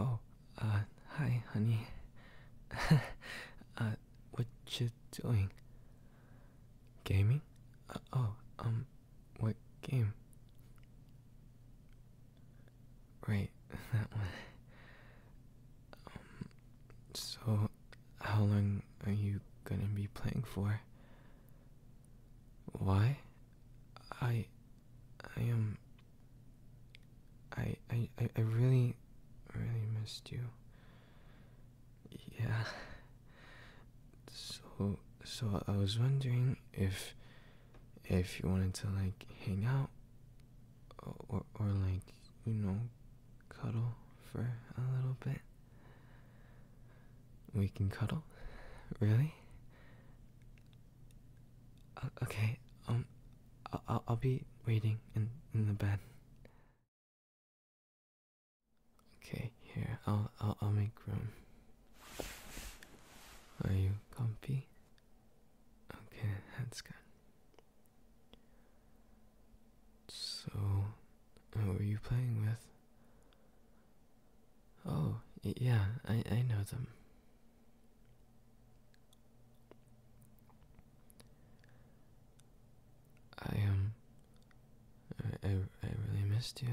Oh, uh, hi, honey. uh, what you doing? Gaming? Uh, oh, um, what game? Right, that one. Um, so, how long are you gonna be playing for? Why? I. I am. Um, I, I, I really, really missed you. Yeah. So, so I was wondering if, if you wanted to like hang out, or, or like you know, cuddle for a little bit. We can cuddle, really? Okay, um, I'll, I'll be waiting in, in the bed. Okay, here, I'll, I'll, I'll make room. Are you comfy? Okay, that's good. So, who are you playing with? Oh, yeah, I, I know them. I Um, I, I really missed you.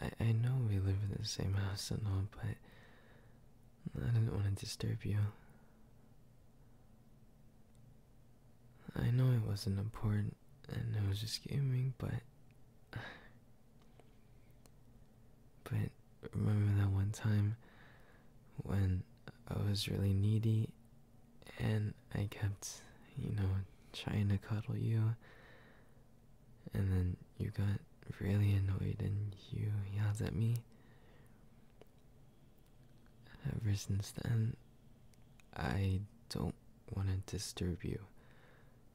I, I know we live in the same house and all, but I didn't want to disturb you. I know it wasn't important and it was just kidding, but. But remember that one time when I was really needy and I kept, you know, trying to cuddle you, and then you got really annoyed and you yelled at me? Ever since then, I don't want to disturb you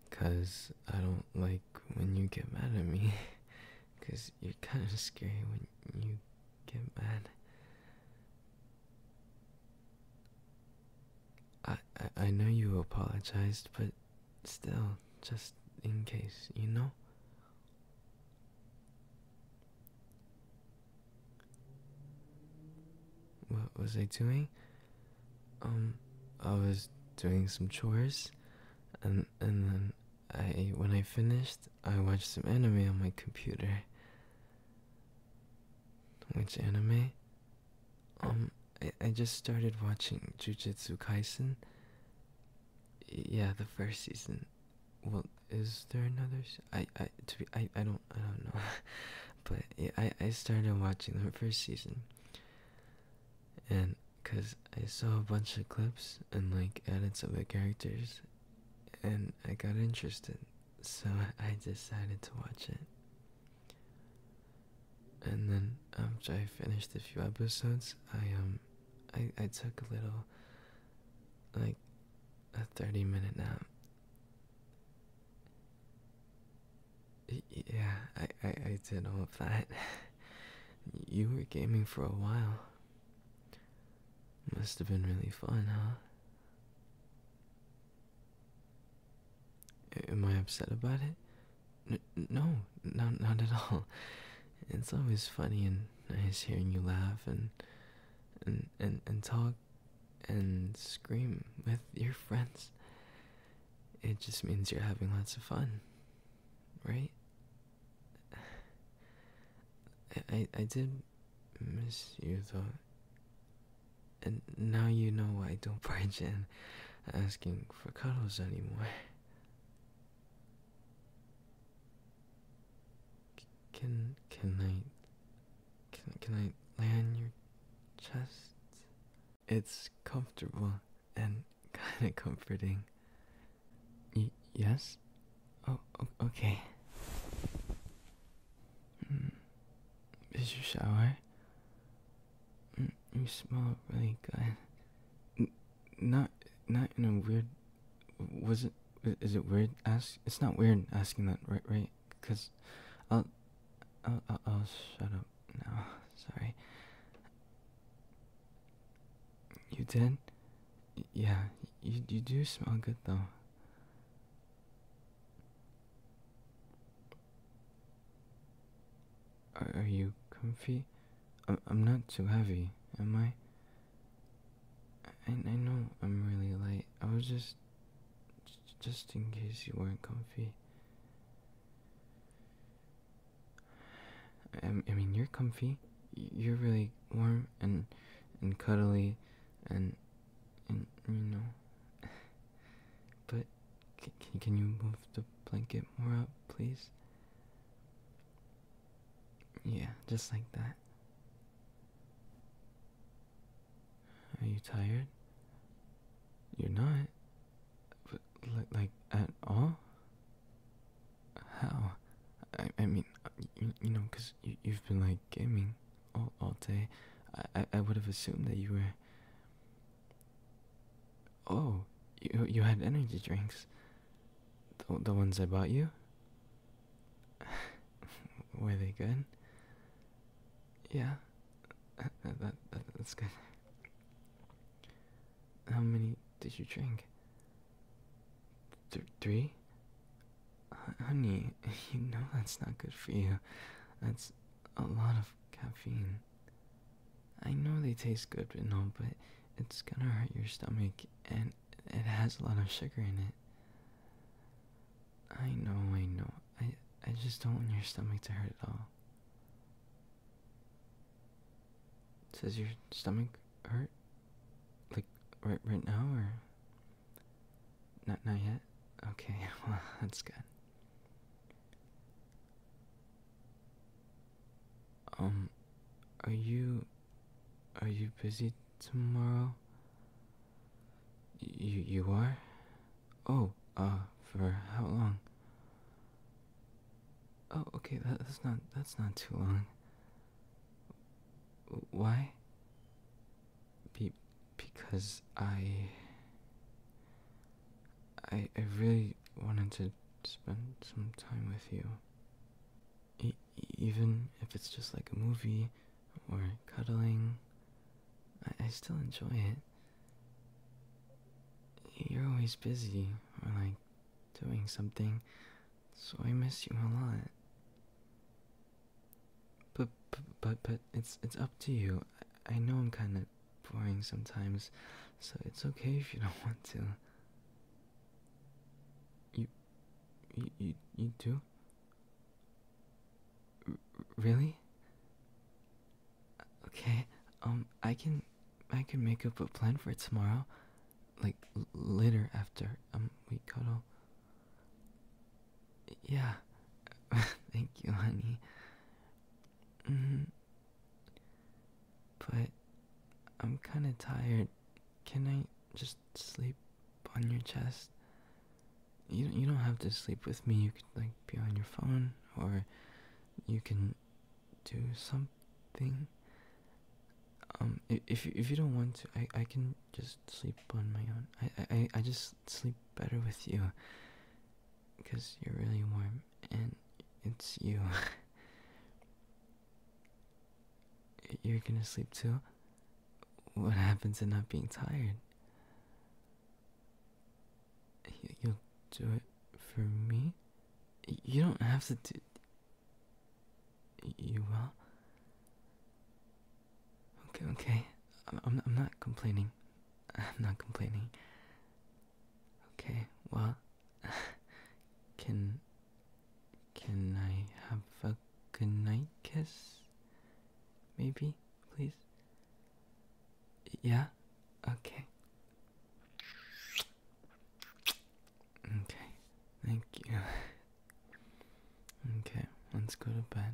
because I don't like when you get mad at me because you're kind of scary when you get mad. I, I I know you apologized, but still, just in case, you know. What was I doing? Um, I was doing some chores, and and then I when I finished, I watched some anime on my computer. Which anime? Um, I, I just started watching Jujutsu Kaisen. Yeah, the first season well is there another i i to be i i don't i don't know but i i started watching the first season and because i saw a bunch of clips and like edits of the characters and i got interested so i decided to watch it and then after i finished a few episodes i um i i took a little like a 30 minute nap yeah, I, I, did all of that. You were gaming for a while. Must have been really fun, huh? Am I upset about it? no, not, not at all. It's always funny and nice hearing you laugh and and and and talk and scream with your friends. It just means you're having lots of fun, right? I I, I did miss you though, and now you know why I don't barge in, asking for cuddles anymore. Can can I can can I lay on your chest? It's comfortable and kind of comforting. yes. Oh, okay. Mm. Is your shower? Hmm, you smell really good not not in a weird was it is it weird ask it's not weird asking that right right because I'll, I'll I'll shut up no sorry you did yeah you you do smell good though are, are you comfy I'm, I'm not too heavy am I I, I know I'm really late. I was just. Just in case you weren't comfy. I, I mean, you're comfy. You're really warm and and cuddly, and and you know. But can can you move the blanket more up, please? Yeah, just like that. Are you tired? You're not, but like at all. How? I I mean, you, you know, cause you you've been like gaming all all day. I, I would have assumed that you were. Oh, you you had energy drinks. The the ones I bought you. Were they good? Yeah, uh, uh, that, that, that's good. How many did you drink? three. honey, you know that's not good for you. That's a lot of caffeine. I know they taste good and all, but it's gonna hurt your stomach and it has a lot of sugar in it. I know, I know. I I just don't want your stomach to hurt at all. Does your stomach hurt? Like right right now or not not yet? Okay, well that's good. Um, are you are you busy tomorrow? You you are? Oh, uh, for how long? Oh, okay, that's not that's not too long. Why? Be because I I I really wanted to spend some time with you. even if it's just like a movie or cuddling, I, I still enjoy it. You're always busy or like doing something, so I miss you a lot. But but but, but it's it's up to you. I, I know I'm kind of boring sometimes, so it's okay if you don't want to. You, you, you, you do? really? Okay. Um, I can, I can make up a plan for tomorrow, like later after um we cuddle. Yeah. Thank you, honey. -hmm. But I'm kind of tired. Can I just sleep on your chest? You you don't have to sleep with me. You could like be on your phone or you can do something. Um if if you don't want to, I I can just sleep on my own. I I I just sleep better with you because you're really warm and it's you. you're gonna sleep too? What happens to not being tired? You'll do it for me? You don't have to do. You will? Okay, okay. I'm, I'm not complaining. I'm not complaining. Okay, well, can can I have a good night kiss? Maybe, please. Yeah. Okay. Okay. Thank you. okay, let's go to bed.